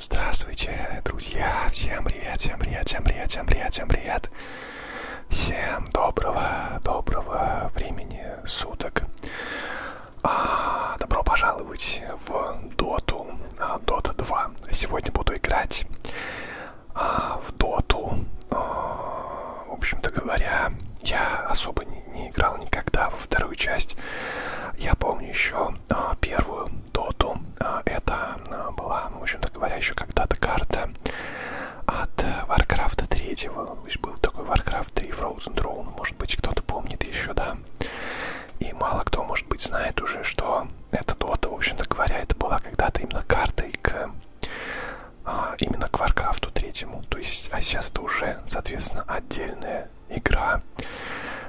Здравствуйте, друзья! Всем привет, всем привет, всем привет, всем привет, всем привет! Всем доброго, доброго времени суток! А, добро пожаловать в Доту, Дота 2. Сегодня буду играть а, в Доту а, в общем-то говоря, я особо не, не играл никогда во вторую часть. Я помню еще а, первую доту. А, это а, была, в общем-то говоря, еще когда-то карта от Warcraft 3. Был такой Warcraft 3 Frozen Throne, может быть, кто-то помнит еще, да. И мало кто, может быть, знает уже, что эта дота, в общем-то говоря, это была когда-то именно картой к а, именно к Варкрафту третьему. То есть, а сейчас это уже, соответственно, отдельная игра.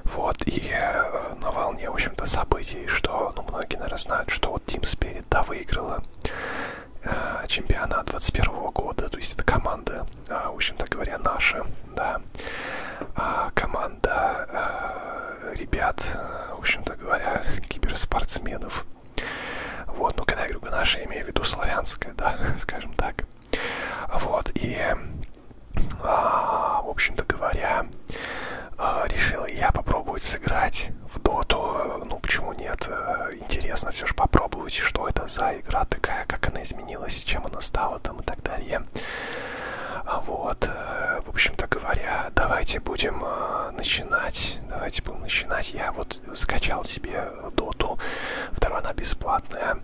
Вот, и э, на волне, в общем-то, событий, что, ну, многие, наверное, знают, что вот Team Spirit, да, выиграла э, чемпионат 21 -го года, то есть это команда, э, в общем-то говоря, наша, да, э, команда э, ребят, э, в общем-то говоря, киберспортсменов, вот, ну когда я говорю наша, я имею в виду славянская, да, скажем так. Вот, и, а, в общем-то говоря, а, решил я попробовать сыграть в доту. Ну, почему нет? Э, интересно все же попробовать, что это за игра такая, как она изменилась, чем она стала там и так далее. А вот, э, в общем-то говоря, давайте будем э, начинать. Давайте будем начинать. Я вот скачал себе доту. Вторая она бесплатная.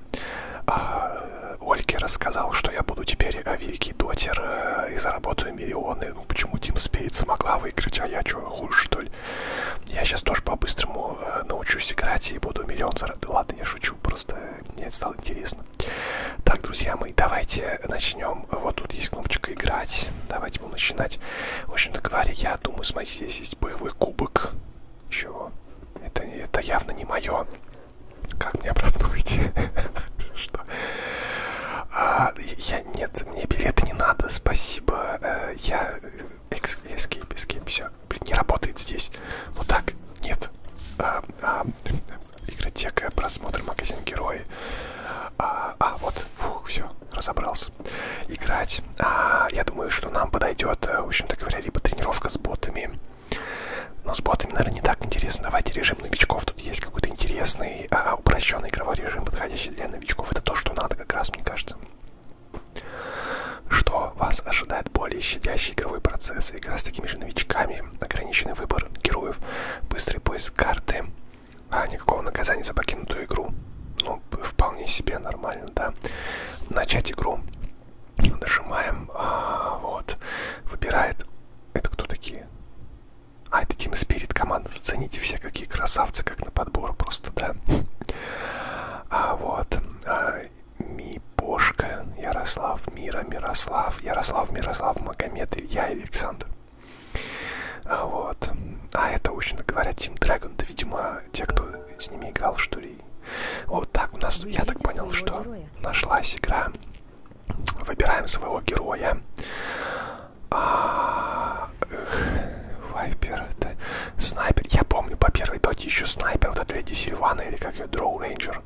А, э, Ольке рассказал, что я буду теперь э, великий дотер э, и заработаю миллионы. Ну почему Тим Спирит смогла выиграть, а я что, хуже что ли? Я сейчас тоже по-быстрому научусь играть и буду миллион заработать. Ладно, я шучу, просто мне это стало интересно. Так, друзья мои, давайте начнем. Вот тут есть кнопочка «Играть». Давайте давайте будем начинать. В общем-то говоря, я думаю, смотрите, здесь есть боевой кубок. Чего? Это, это явно не мое. Как мне обратно выйти? Что? А, я, нет, мне билеты не надо, спасибо. А, я... Э, escape, escape, все. Блин, не работает здесь. Вот так. Нет. А, а, игротека, просмотр, магазин, герои. А, а вот, фух, все, разобрался сейчас играть. А, я думаю, что нам подойдет, э, в общем-то говоря, либо тренировка с ботами. Но с ботами, наверное, не так интересно. Давайте режим новичков. Тут есть какой-то интересный, а, упрощенный игровой режим, подходящий для новичков. Это то, что надо как раз, мне кажется. Что вас ожидает более щадящий игровой процесс, игра с такими же новичками, ограниченный выбор героев, быстрый поиск карты, а, никакого наказания за покинутую игру. Ну, вполне себе нормально, да. Начать игру. Нажимаем. А, вот. Выбирает. Это кто такие? А, это Team Spirit команда. Зацените все, какие красавцы, как на подбор просто, да. А, вот. А, Мипошка, Ярослав, Мира, Мирослав, Ярослав, Мирослав, Магомед, Илья и Александр. А, вот. А это, очень говоря, Team Dragon, да, видимо, те, кто с ними играл, что ли. Вот так у нас, я так понял, что героя. нашлась игра. Выбираем своего героя. А, эх, вайпер, это снайпер. Я помню по первой доте еще снайпер, вот эта Леди Сильвана, или как ее, Дроу Рейнджер.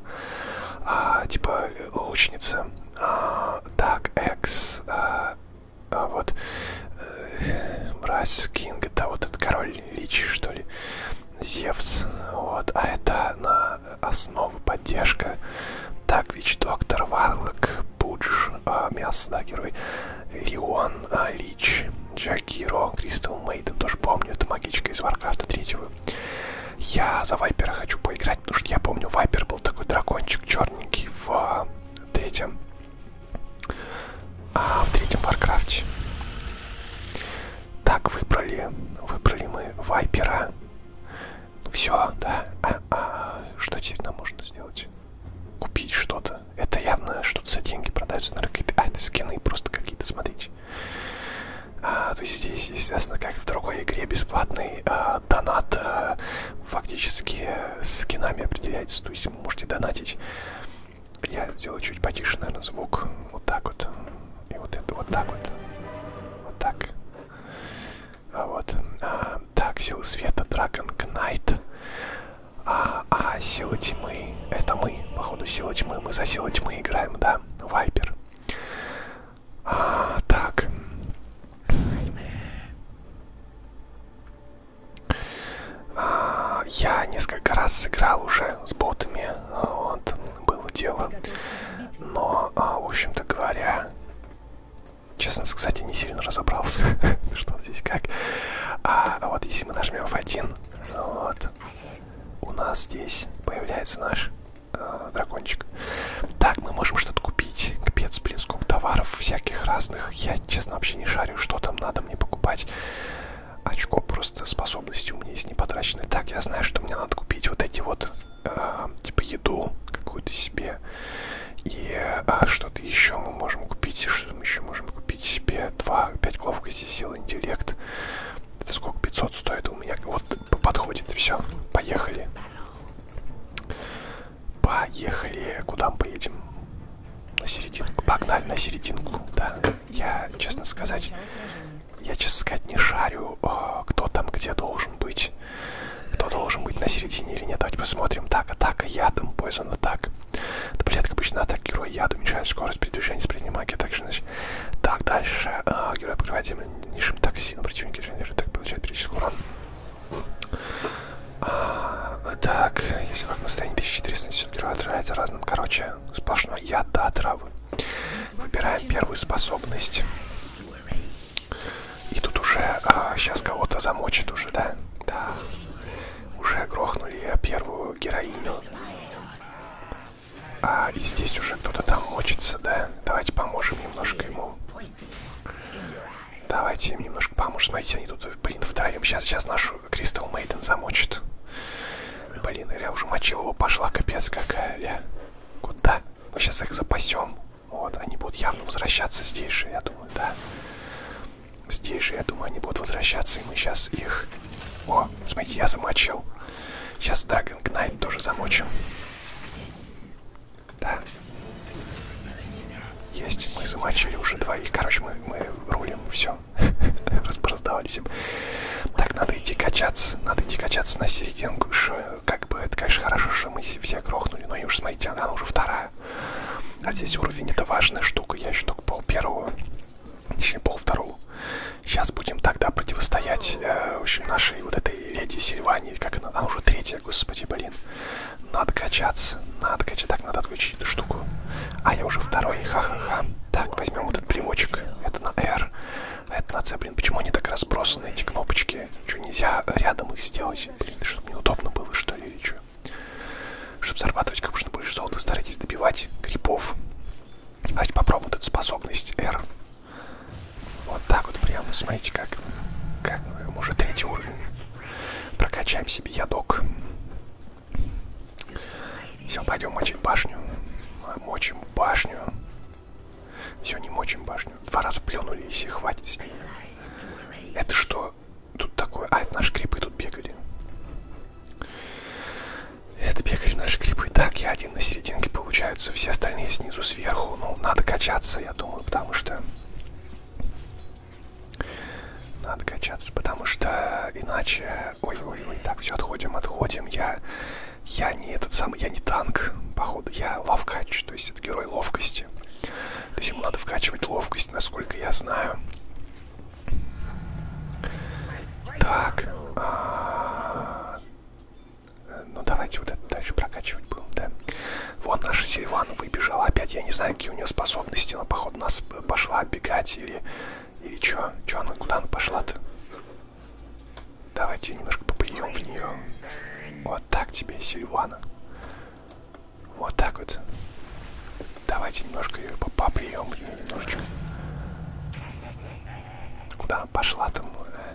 А, типа э, лучница. А, так, Экс, а, а вот э, мразь Кинг, это вот этот король Личи, что ли, Зевс, вот, а это на основу поддержка. Так, Вич, Доктор, Варлок, Пудж, э, Мясо, да, герой, Леон, э, Лич, Джакиро, Кристал Мейден, тоже помню, это магичка из Варкрафта третьего. Я за Вайпера хочу поиграть, потому что я помню, Вайпер был такой дракончик черненький в э, третьем а в третьем Варкрафте. Так, выбрали. Выбрали мы вайпера. Все, да. А, а, что теперь нам можно сделать? Купить что-то. Это явно что-то за деньги продаются. Наверное, какие-то... А, это скины просто какие-то, смотрите. А, то есть здесь, естественно, как в другой игре, бесплатный а, донат а, фактически э, с скинами определяется. То есть если вы можете донатить. Я сделаю чуть потише, наверное, звук. Вот так вот. И вот это вот так вот. Вот так. А вот. А, так, силы света, Dragon Knight. А, а, сила тьмы. Это мы, походу, сила тьмы. Мы за силу тьмы играем, да? Вайпер. А, так. А, я несколько раз сыграл уже с ботами, а, вот, было дело. Но, а, в общем-то говоря, честно, кстати, не сильно разобрался, что здесь как. А вот если мы нажмем F1, вот, у нас здесь появляется наш дракончик. Так, мы можем что-то купить. Капец, блин, сколько товаров всяких разных. Я, честно, вообще не шарю, что там надо мне покупать. Очко просто способности у меня есть не потрачены. Так, я знаю, что мне надо купить вот эти вот, э, типа, еду какую-то себе. И а, что-то еще мы можем купить. Что мы еще можем купить себе? 2, 5 ловкости, сил, интеллект. Это сколько? 500 стоит у меня. Вот подходит. Все, поехали. Поехали. Куда мы поедем? На серединку. Погнали на серединку. Да. Я, честно сказать, я, честно сказать, не шарю, а, кто там где должен быть. Кто должен быть на середине или нет. Давайте посмотрим. Так, атака ядом, Poison атак. Да, блядь, как обычно, атака героя яду уменьшает скорость передвижения с предней магии. Так, значит, так дальше. А, герой покрывает землю низшим токсином. Противники так получает перечисленный урон. А, так, если как настроение 1470 героя отравляется разным, короче, сплошной яд до отравы. Выбираем первую способность. И тут уже а, сейчас кого-то замочит уже, да? Да. Уже грохнули первую героиню. А, и здесь уже кто-то там мочится, да? Давайте поможем немножко ему. Давайте им немножко поможем. Смотрите, они тут, блин, втроем. Сейчас, сейчас нашу Кристал Мейден замочит. Блин, Ля уже мочилова пошла, капец какая, Ля. Куда? Мы сейчас их запасем. Вот, они будут явно возвращаться здесь же, я думаю, да. Здесь же, я думаю, они будут возвращаться, и мы сейчас их... О, смотрите, я замочил. Сейчас Dragon Knight тоже замочим. Да, есть, мы замочили уже двоих. Короче, мы, мы рулим, все. Разбраздавались им. Так, надо идти качаться. Надо идти качаться на серединку. Шо, как бы, это, конечно, хорошо, что мы все грохнули. Но и уж, смотрите, она уже вторая. А здесь уровень, это важная штука. Я еще только пол первого. Точнее, пол второго. Сейчас будем тогда противостоять, э, в общем, нашей вот этой леди Сильвании. Как она? Она уже третья, господи, блин. Надо качаться, надо качаться. Так, надо отключить эту штуку. А, я уже второй, ха-ха-ха. Так, возьмем вот этот примочек. Это на R, а это на C. Блин, почему они так разбросаны, эти кнопочки? Что, нельзя рядом их сделать? Блин, чтобы неудобно было, что ли, или что? Чтобы зарабатывать как можно больше золота, старайтесь добивать грибов. Давайте попробуем вот эту способность R. Вот так вот прямо, смотрите, как, как уже третий уровень. Прокачаем себе ядок. Все, пойдем мочим башню. Мочим башню. Все, не мочим башню. Два раза плюнули, если хватит. Это что? Тут такое... А, это наши крипы тут бегали. Это бегали наши крипы. Так, я один на серединке, получается. Все остальные снизу, сверху. Ну, надо качаться, я думаю, потому что... Надо качаться, потому что иначе... Ой-ой-ой, так, все, отходим, отходим. Я я не этот самый, я не танк, походу, я ловкач, то есть это герой ловкости. То есть ему надо вкачивать ловкость, насколько я знаю. Так. А -а -а. Ну, давайте вот это дальше прокачивать будем, да. Вот наша Сильван выбежала опять. Я не знаю, какие у нее способности, но, походу, нас пошла бегать или... Или чё? Чё она? Куда она пошла-то? Давайте немножко поприем в нее. Вот так тебе, Сильвана. Вот так вот. Давайте немножко ее попоприем в нее немножечко. Куда пошла там? Э?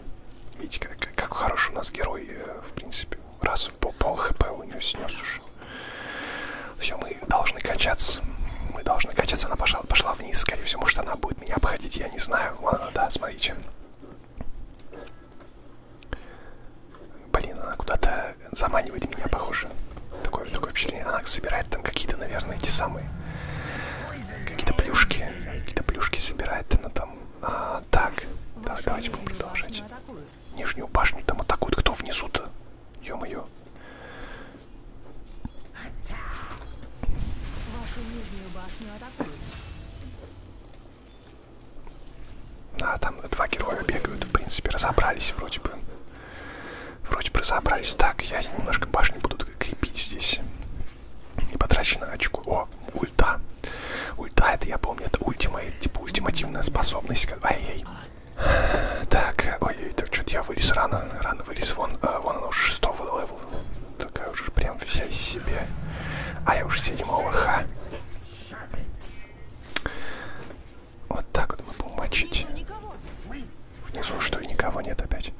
Видите, как, как хороший у нас герой, э, в принципе. Раз сейчас по пол хп у нее снес уже. Все, мы должны качаться. Мы должны качаться. Она пошла, пошла вниз, скорее всего. Может, она будет меня обходить, я не знаю. Ладно, да, смотрите. Блин, она куда-то заманивает меня, похоже. Такое, такое впечатление. Она собирает там какие-то, наверное, эти самые... Какие-то плюшки. Какие-то плюшки собирает она там. А, так, да, давайте будем продолжать. Нижнюю башню там атакуют. Кто внизу-то? Ё-моё. Вашу нижнюю башню атакуют. А, там два героя бегают, в принципе, разобрались вроде бы. Вроде бы разобрались. Так, я немножко башню буду крепить здесь. И потрачено очко. О, ульта. Ульта, это я помню, это ультимейт, типа ультимативная способность. Ай-яй. -ай. Так, ой-ой, так что-то я вылез рано, рано вылез, вон, э, вон оно уже шестого левел. Такая уже прям вся из себя. А я уже седьмого, ха. Вот так вот мы будем мочить. Внизу что, и никого нет опять.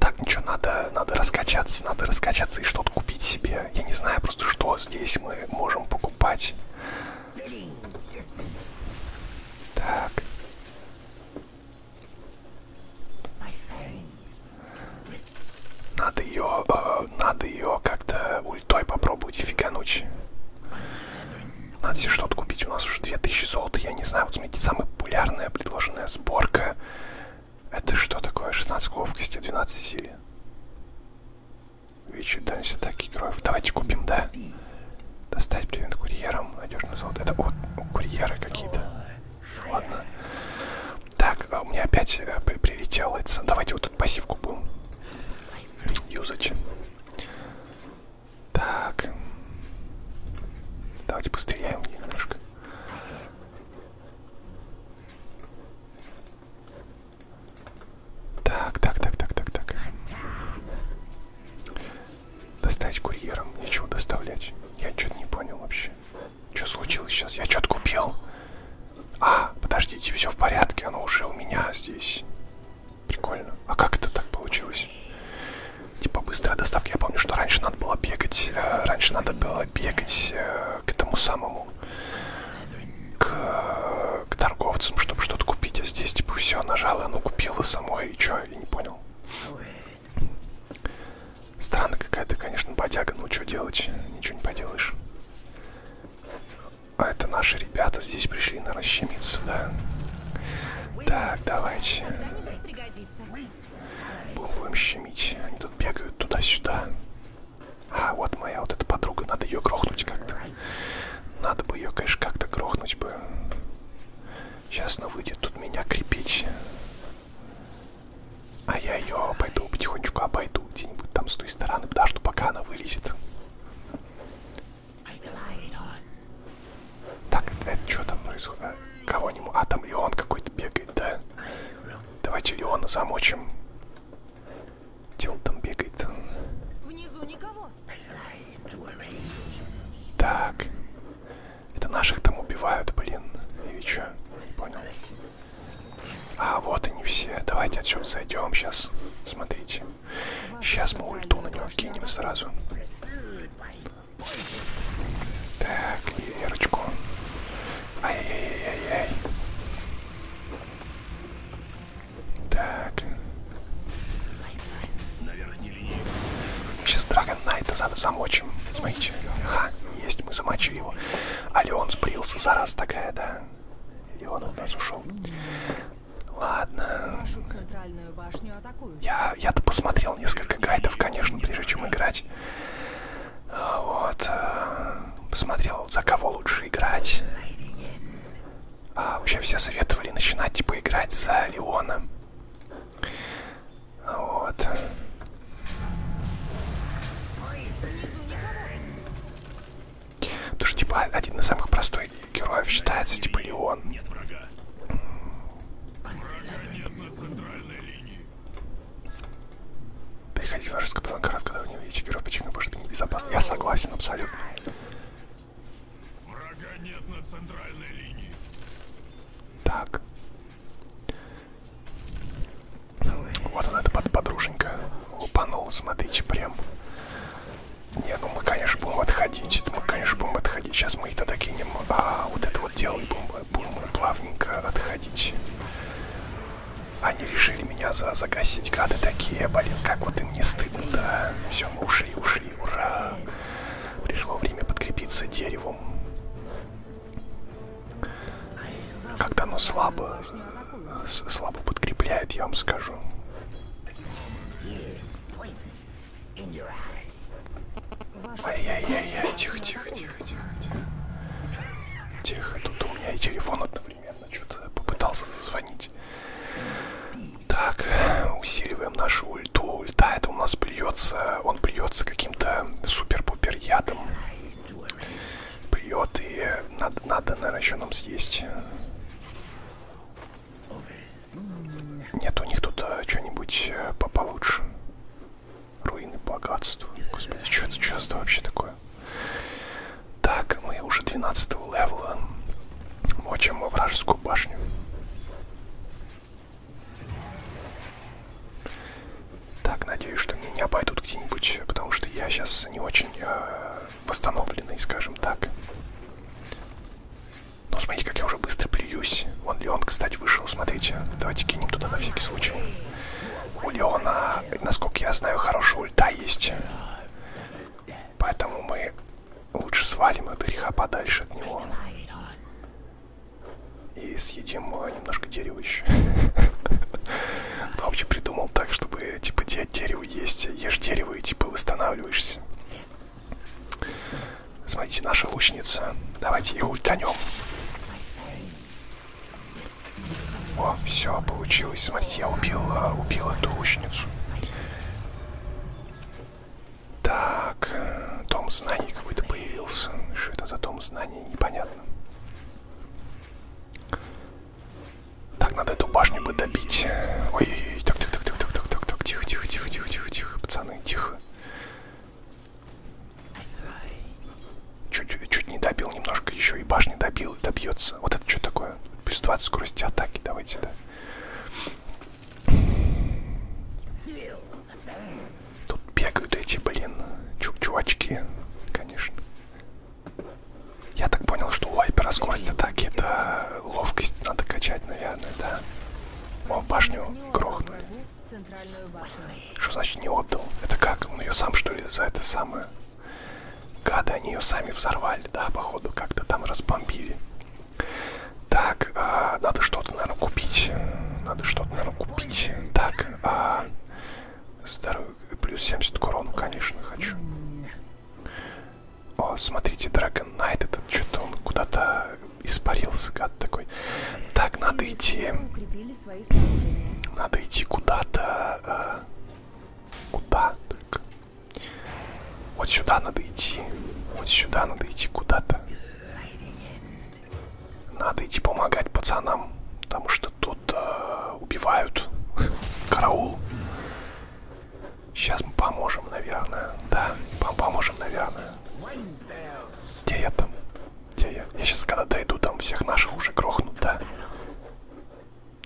Так, ничего, надо, надо раскачаться, надо раскачаться и что-то купить себе. Я не знаю просто, что здесь мы можем покупать. Так. Надо ее, э, надо ее как-то ультой попробовать фигануть. Надо себе что-то купить. У нас уже 2000 золота. Я не знаю, вот смотрите, самая популярная предложенная сборка. Это что такое? 16 ловкости, 12 силы. Вечер Данси атаки героев. Давайте купим, да? Достать привет курьерам. Надежный золото. Это вот курьеры какие-то. Ладно. Так, а у меня опять э, прилетело. Давайте вот тут пассивку будем. Юзать. Так. Давайте постреляем немножко. Так, так, так, так, так, так. Достать курьером, нечего доставлять. Я что-то не понял вообще. Что случилось сейчас? Я что-то купил. А, подождите, все в порядке, оно уже у меня здесь. Прикольно. А как это так получилось? Типа быстрая доставка. Я помню, что раньше надо было бегать. Э, раньше надо было бегать э, к этому самому. К э, к торговцам, чтобы что-то купить, а здесь типа все нажала, оно ну, купила самой, и чё, я не понял. Странно какая-то, конечно, бодяга, ну что делать, ничего не поделаешь. А это наши ребята здесь пришли, наверное, щемиться, да? Так, давайте. Будем щемить. Они тут бегают туда-сюда. А, вот моя вот эта подруга, надо ее грохнуть как-то. Надо бы ее, конечно, как-то грохнуть бы. Сейчас она выйдет тут меня крепить. А я ее пойду потихонечку обойду где-нибудь там с той стороны, подожду, пока она вылезет. Так, это что там происходит? А, Кого-нибудь? А, там Леон какой-то бегает, да? Давайте Леона замочим. Где он там бегает? Внизу никого. Так. Это наших там убивают, блин. Или что? Не понял. А, вот они все. Давайте отсюда зайдем сейчас. Смотрите. Сейчас мы ульту на него кинем сразу. Так, и Верочку. Ай-яй-яй-яй-яй. Так. Сейчас Драгон Найта замочим. Смотрите. Ага, есть, мы замочили его. А Леон сбрился, зараза такая, да. Леон от нас ушел. Ладно. Я, я-то посмотрел несколько гайдов, конечно, прежде чем играть. А вот. Э, посмотрел, за кого лучше играть. А, вообще все советовали начинать типа играть за Леона. Вот. Потому что типа один из самых простых героев считается типа Леон. Нет врага. Врага нет на центральной линии. Переходить в вражескую план когда вы не видите героя, почему может быть небезопасно. Я согласен абсолютно. Врага нет на центральной линии. Так. Вот она, эта подруженька. Лупанула, смотрите, прям. Не, ну мы, конечно, будем отходить. Мы, конечно, будем отходить. Сейчас мы это докинем. А вот это вот дело, и будем, будем плавненько отходить. Они решили меня за загасить, гады такие, блин, как вот им не стыдно-то. А? Все, мы ушли, ушли, ура. Пришло время подкрепиться деревом. Когда оно слабо, слабо подкрепляет, я вам скажу. Ай-яй-яй-яй, тихо-тихо-тихо-тихо. Тихо, тут у меня и телефон от одновременно что-то попытался зазвонить. Так, усиливаем нашу ульту. Ульта это у нас плюется, он плюется каким-то супер-пупер ядом. Плюет и надо, надо, наверное, еще нам съесть. Нет, у них тут а, что-нибудь а, э, получше. Руины богатства. Господи, что это, что это вообще такое? много. Так, мы уже 12 левела. Мочим во вражескую башню. Так, надеюсь, что меня не обойдут где-нибудь, потому что я сейчас не очень э, восстановленный, скажем так. Ну, смотрите, как я уже быстро плююсь. Вон Леон, кстати, вышел, смотрите. Давайте кинем туда на всякий случай. У Леона, насколько я знаю, хорошая ульта есть. Поэтому мы лучше свалим от греха подальше от него. И съедим а, немножко дерева еще. Кто вообще придумал так, чтобы типа дерево есть, ешь дерево и типа восстанавливаешься. Смотрите, наша лучница. Давайте ее ультанем. О, все, получилось. Смотрите, я убил, а, убил эту лучницу. Так, том э, знаний какой-то появился. Что это за том знаний, непонятно. Так, надо эту башню бы добить. Ой-ой-ой, так, так, так, так, так, так, так, так, тихо, тихо, тихо, тихо, тихо, тихо, пацаны, тихо. Чуть, чуть не добил немножко, еще и башни добил, и добьется. Вот это что такое? Плюс 20 скорости атаки, давайте, да. Тут бегают эти, блин, чук чувачки, конечно. Я так понял, что у вайпера скорость атаки это ловкость надо качать, наверное, да. О, башню грохнули. Что значит не отдал? Это как? Он ее сам что ли за это самое? Гады, они ее сами взорвали, да, походу, как-то там разбомбили. Так, э, надо что-то, наверное, купить. Надо что-то, наверное, купить. Так, э, здоровье, плюс 70 к урону, конечно, хочу. О, смотрите, Dragon Knight, этот что-то он куда-то испарился, гад такой. Так, надо идти. Надо идти куда-то. Э, куда только? Вот сюда надо идти. Вот сюда надо идти куда-то. Надо идти помогать пацанам, потому что тут э, убивают. Караул. Сейчас мы поможем, наверное. Да, поможем, наверное. Где я там? Где я? Я сейчас, когда дойду, там всех наших уже грохнут, да?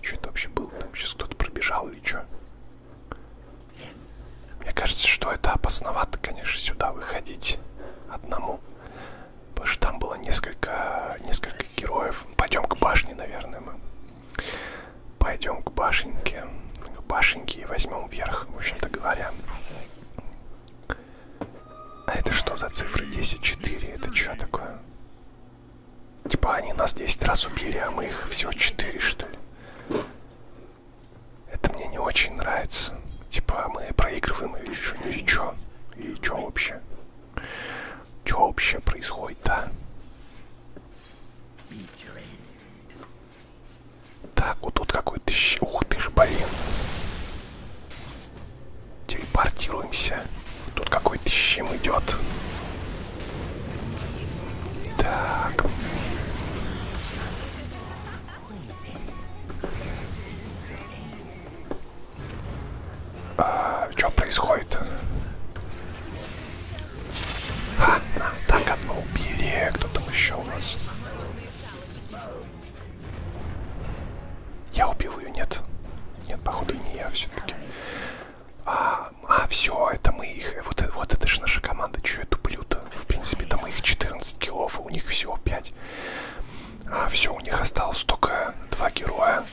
Что это вообще было? Там сейчас кто-то пробежал или что? Мне кажется, что это опасновато, конечно, сюда выходить одному. Потому что там было несколько, несколько героев. Пойдем к башне, наверное, мы. Пойдем к башенке. К башенке и возьмем вверх, в общем-то говоря. А это что за цифры 10-4? Это что такое? Типа они нас 10 раз убили, а мы их всего 4, что ли. Это мне не очень нравится. Типа мы проигрываем или что, или что? И что вообще? Что вообще происходит, да? Так, вот тут какой-то... Ух ты ж, блин. Телепортируемся. Тут какой-то щим идет. Так. А, что происходит? А, так одно убили. Кто там еще у нас? Я убил ее, нет. Нет, походу не я все-таки. А, а все, это мы их... Вот, вот это же наша команда, что я туплю-то? В принципе, там их 14 килов, а у них всего 5. А все, у них осталось только два героя.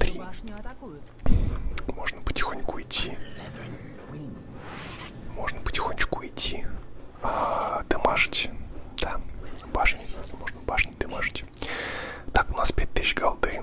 Три. Можно потихоньку идти. Можно потихонечку идти. А, дымажить. Да, башни. Можно башни дымажить. Так, у нас 5000 голды.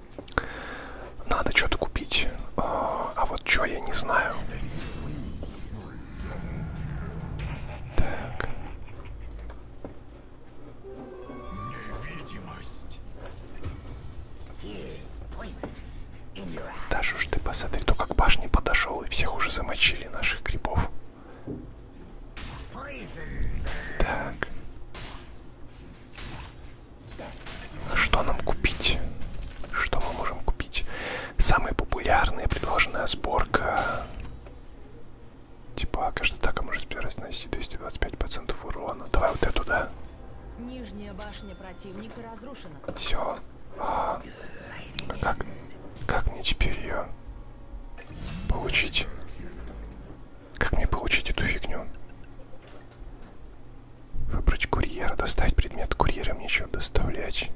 Надо что-то купить. А, а вот что, я не знаю. Так. Да ж ты посмотри, то как башни подошел и всех уже замочили наших грибов. Так. Что нам купить? Что мы можем купить? Самая популярная предложенная сборка. Типа, каждая атака может переносить 225% урона. Давай вот эту, да? Нижняя башня противника разрушена. Все. А, как, как мне теперь ее получить? Как мне получить эту фигню? Выбрать курьера, доставить предмет курьера, мне еще доставлять.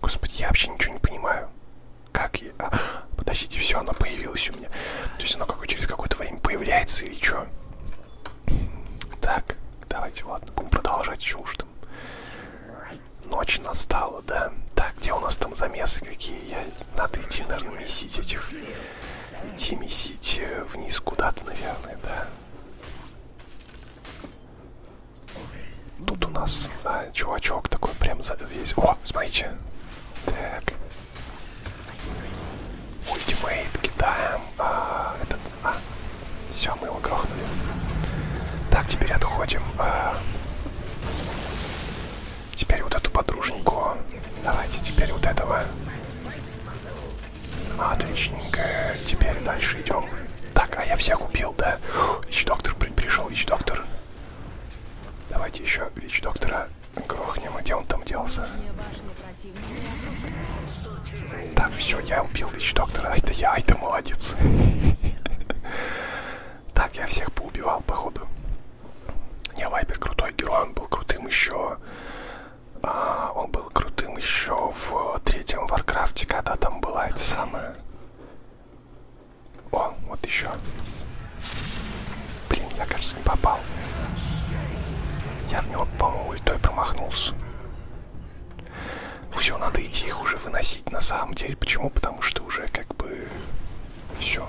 Господи, я вообще ничего не понимаю. Как я... А, подождите, все, оно появилось у меня. То есть оно какое через какое-то время появляется или что? Так, давайте, ладно, будем продолжать еще уж там. Ночь настала, да? Так, где у нас там замесы какие? Я надо идти, наверное, месить этих... Идти месить э, вниз куда-то, наверное, да. Тут у нас а, чувачок такой прям за весь... О, смотрите. Так. Ультимейт кидаем. А, этот... А. Все, мы его грохнули. Так, теперь отходим. А... Теперь вот эту подруженьку. Давайте теперь вот этого. Отличненько. Теперь дальше идем. Так, а я всех убил, да? Вич-доктор пришел, Вич-доктор. Давайте еще Вич-доктора грохнем. А где он там делся? Так, все, я убил Вич-доктора. Ай-то я, ай-то молодец. Так, я всех поубивал, походу. Не, Вайпер крутой герой, он был крутым еще. А, он был крутым еще в третьем Варкрафте, когда там была эта самая. О, вот еще. Блин, я, кажется, не попал. Я в него, по-моему, ультой промахнулся. Все, надо идти их уже выносить на самом деле. Почему? Потому что уже как бы все.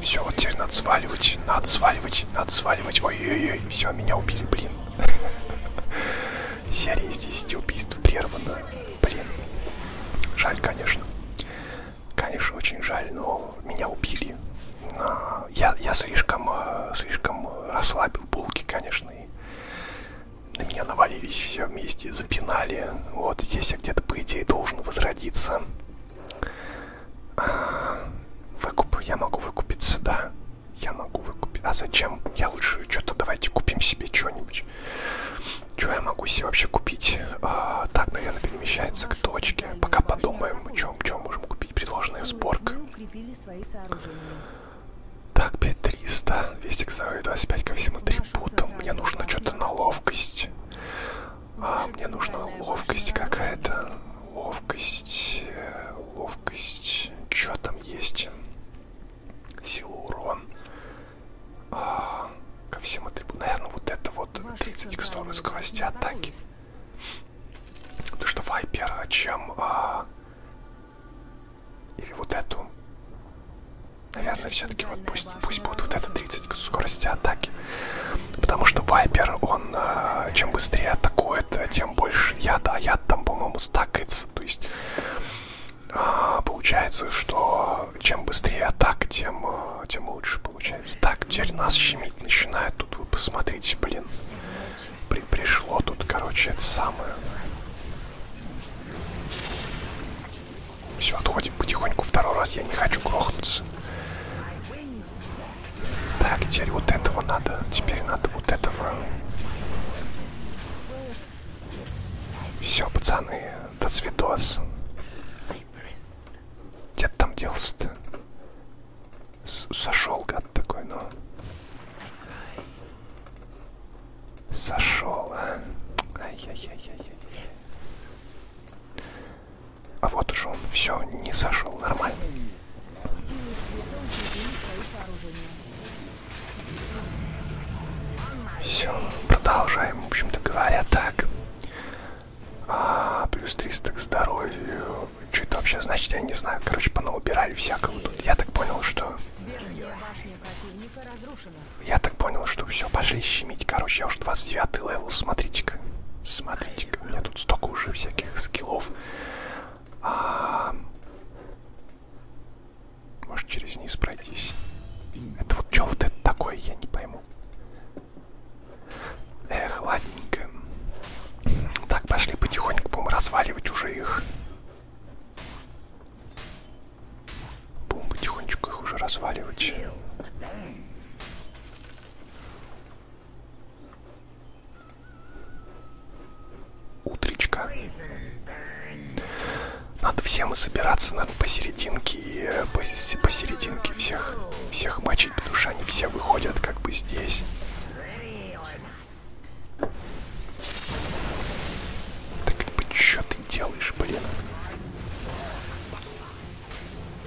Все, вот теперь надо сваливать, надо сваливать, надо сваливать. Ой-ой-ой, все, меня убили, блин. Серия из 10 убийств прервана. Блин. Жаль, конечно. Конечно, очень жаль, но меня убили. Я, я слишком, э, слишком расслабил булки, конечно, и на меня навалились все вместе, запинали. Вот здесь я где-то, по идее, должен возродиться. Выкуп я могу выкупиться, да? Я могу выкупить. А зачем? Я лучше что-то давайте купим себе что-нибудь. Что я могу себе вообще купить? А, так, наверное, перемещается к точке. Пока подумаем, чем можем купить. Предложенная сборка. Так, 5300, 200 к здоровью, 25 ко всему 3 пута. Мне нужно что-то на ловкость. А, мне нужна ловкость какая-то. Ловкость, э, ловкость. Чё там есть? Сила, урон. А, ко всем атрибутам. Наверное, вот это вот 30 к сторону скорости атаки. Потому что вайпер, а чем... А... Или вот эту. Наверное, все-таки вот пусть, пусть будет вот это 30 повысить скорость атаки. Потому что Вайпер, он э, чем быстрее атакует, тем больше яда. А яд там, по-моему, стакается. То есть э, получается, что чем быстрее атака, тем, э, тем лучше получается. Так, теперь нас щемить начинает. Тут вы посмотрите, блин. При пришло тут, короче, это самое. Все, отходим потихоньку. Второй раз я не хочу грохнуться. Так, теперь вот этого надо. Теперь надо вот этого. Все, пацаны, до свидос. Где ты там делся-то? Сошел, гад такой, но... Ну. Сошел, а? Ай-яй-яй-яй-яй. А вот уж он все не сошел нормально. Все, продолжаем, в общем-то говоря, так. А, плюс 300 к здоровью. Что это вообще значит, я не знаю. Короче, понаубирали всякого тут. Я так понял, что... Верхняя башня противника разрушена. Я так понял, что все, пошли щемить. Короче, я уже 29 левел, смотрите-ка. Смотрите-ка, у меня тут столько уже всяких скиллов. А... Может через низ пройтись? Это вот что вот это такое, я не пойму. Эх, ладненько. Так, пошли потихоньку, будем разваливать уже их. Будем потихонечку их уже разваливать. Утречка. Надо всем собираться, наверное, посерединке и э, посерединке всех, всех мочить, потому что они все выходят как бы здесь. Так, что ты делаешь, блин?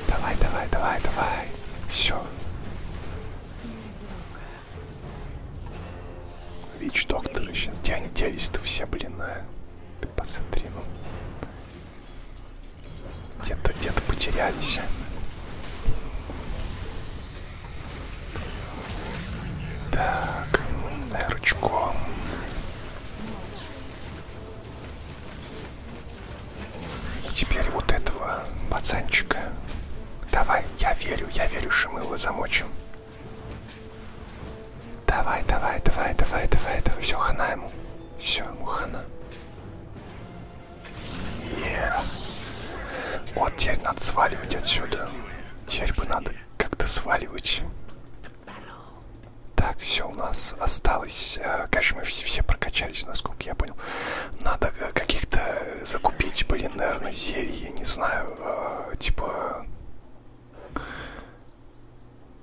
Давай, давай, давай, давай. Все. Вич докторы сейчас. Где они делись-то все, блин, а? Ты посмотри, ну. Где-то, где-то потерялись. Так, рычком. Теперь вот этого пацанчика. Давай, я верю, я верю, что мы его замочим. Давай, давай, давай, давай, давай, давай. Все, хана ему. Все, ему хана. Yeah. Вот теперь надо сваливать отсюда. Теперь бы надо как-то сваливать. Так, все у нас осталось. Э, конечно, мы все, все прокачались, насколько я понял. Надо э, каких-то э, закупить, блин, наверное, зелье, не знаю, типа...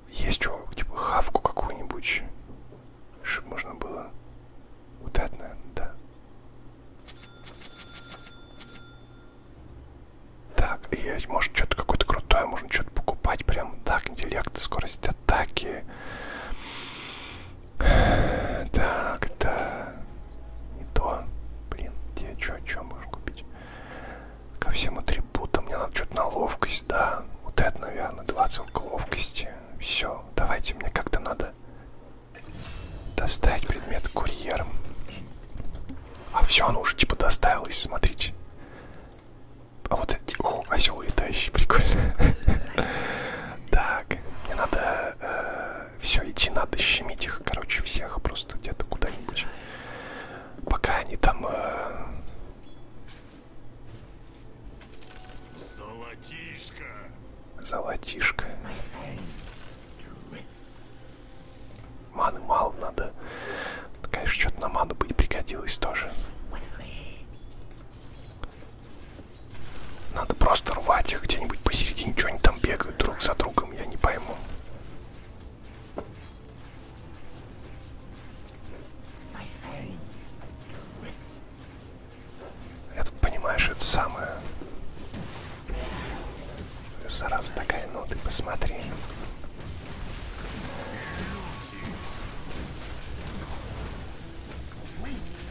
Есть что, типа хавку какую-нибудь, чтобы можно было... Вот это, наверное, да. Так, и может что-то какое-то крутое, можно что-то покупать, прям так, интеллект, скорость атаки. Так, это не то. Блин, где, что, что можно купить? Ко всем атрибутам мне надо что-то на ловкость, да. Вот это, наверное, 20 к ловкости. Все, давайте, мне как-то надо доставить предмет курьером. А все, оно уже типа доставилось, смотрите. А вот эти... О, осел летающий, прикольно. Так, мне надо... Э, Все, идти надо, щемить их, короче, всех просто где-то куда-нибудь. Пока они там... Э, Золотишко. Золотишко. Маны мало надо. Конечно, что-то на ману бы и пригодилось тоже. Надо просто рвать их где-нибудь посередине, что они там бегают друг за другом, я не пойму. Это, понимаешь, это самое... Зараза такая, ну ты посмотри.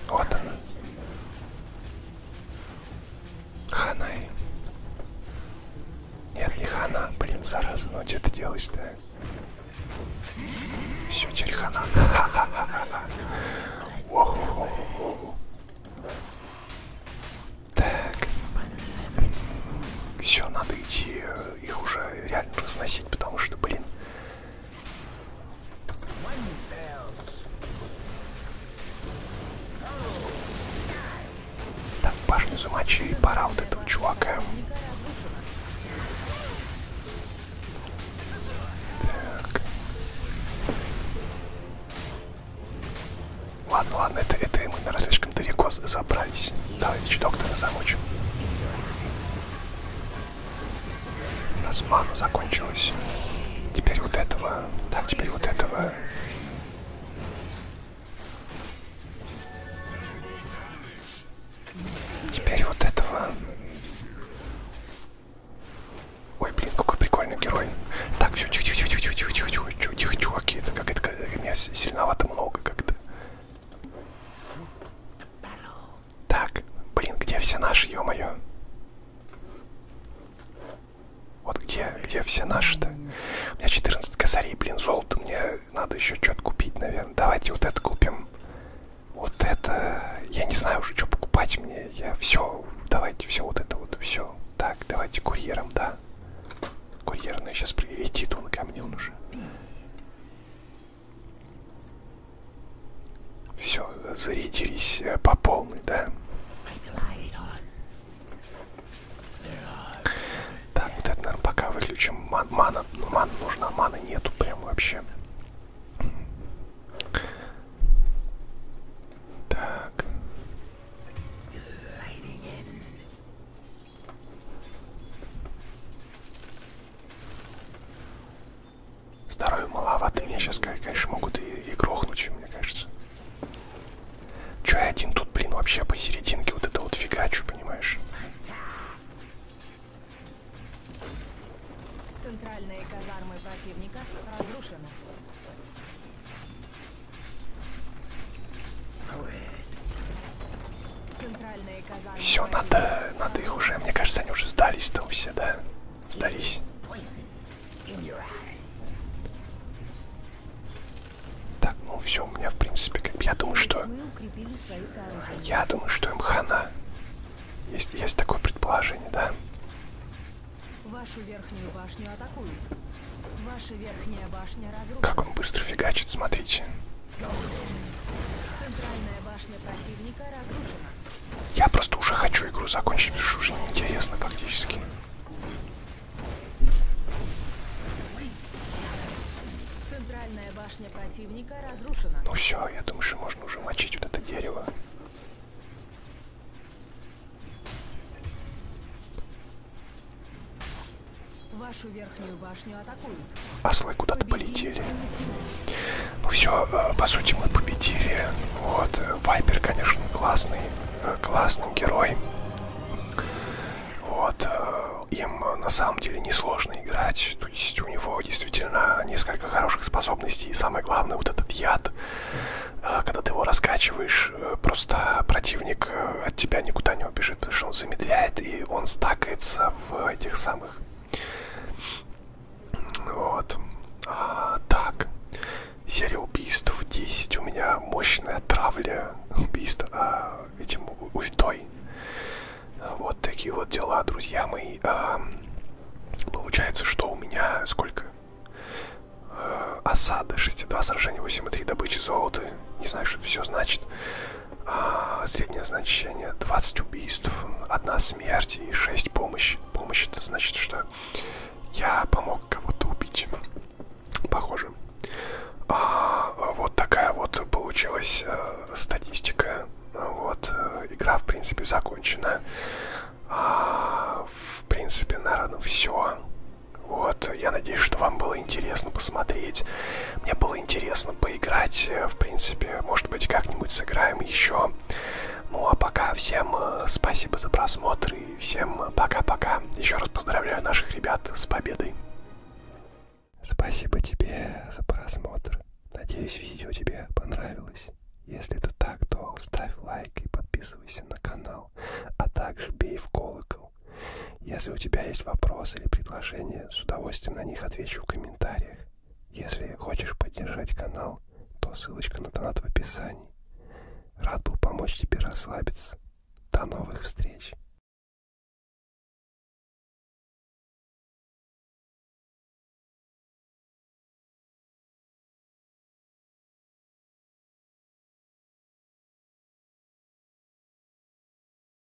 Вот она. Ханай. Нет, не хана, блин, зараза, ну что ты делаешь-то? Все, черехана. Так. Все, надо идти э, их уже реально разносить, потому что, блин. Так, башню замочили, пора вот этого чувака. Так. Ладно, ладно, это, это мы, наверное, слишком далеко забрались. Товарищ доктора замочим. У нас ману закончилась. Теперь вот этого. Так, теперь вот этого. Теперь вот этого. Ой, блин, какой прикольный герой. Так, все, тихо, тихо, тихо, тихо, тихо, тихо, тихо, тихо, чуваки. Это как это меня сильновато много как-то. Так, блин, где все наши, ё-моё? Вот где, где все наши-то? У меня 14 косарей, блин, золото, мне надо еще что-то купить, наверное. Давайте вот это купим. Вот это, я не знаю уже, что покупать мне, я все, давайте все вот это вот, все. Так, давайте курьером, да. Курьерная ну, сейчас прилетит он ко мне, он уже. Все, зарядились э, по полной, да? Так, вот это, наверное, пока выключим. Ман, мана, ну, мана нужна, мана нету прям вообще. Так. Здоровья маловато. Меня сейчас, конечно, могут и, и грохнуть, мне кажется. Че я один тут, блин, вообще посерединке вот это вот фигачу, понимаешь? Центральные казармы противника разрушены. Все, надо, надо их уже, мне кажется, они уже сдались там все, да? Сдались. Так, ну все, у меня в принципе, как я думаю, что... Я думаю, что им хана. Есть, есть такое предположение, да? Вашу верхнюю башню атакуют. Ваша верхняя башня разрушена. Как он быстро фигачит, смотрите. Центральная башня противника разрушена. Я просто уже хочу игру закончить, потому что уже неинтересно фактически. Центральная башня противника разрушена. Ну все, я думаю, что можно уже мочить вот это дерево. Вашу верхнюю башню атакуют. Ослы куда-то полетели. Ну все, э, по сути мы победили. Вот, э, Вайпер, конечно, классный, э, классный герой. Вот, им на самом деле несложно играть. То есть у него действительно несколько хороших способностей. И самое главное, вот этот яд, когда ты его раскачиваешь, просто противник от тебя никуда не убежит, потому что он замедляет и он стакается в этих самых. Вот. А, так. Серия убийств 10. У меня мощная травля убийств а, этим ультой. Вот такие вот дела, друзья мои. А, получается, что у меня сколько? А, осада 6.2, сражение 8.3, добыча золота. Не знаю, что это все значит. А, среднее значение 20 убийств, одна смерть и 6 помощи. Помощь это значит, что я помог кого-то убить. Похоже. А, вот такая вот получилась а, статистика. Вот, э, игра, в принципе, закончена. А, в принципе, наверное, все. Вот, я надеюсь, что вам было интересно посмотреть. Мне было интересно поиграть, э, в принципе, может быть, как-нибудь сыграем еще. Ну а пока всем э, спасибо за просмотр и всем э, пока-пока. Еще раз поздравляю наших ребят с победой. Спасибо тебе за просмотр. Надеюсь, видео тебе понравилось. Если это так, то ставь лайк и подписывайся на канал, а также бей в колокол. Если у тебя есть вопросы или предложения, с удовольствием на них отвечу в комментариях. Если хочешь поддержать канал, то ссылочка на донат в описании. Рад был помочь тебе расслабиться. До новых встреч!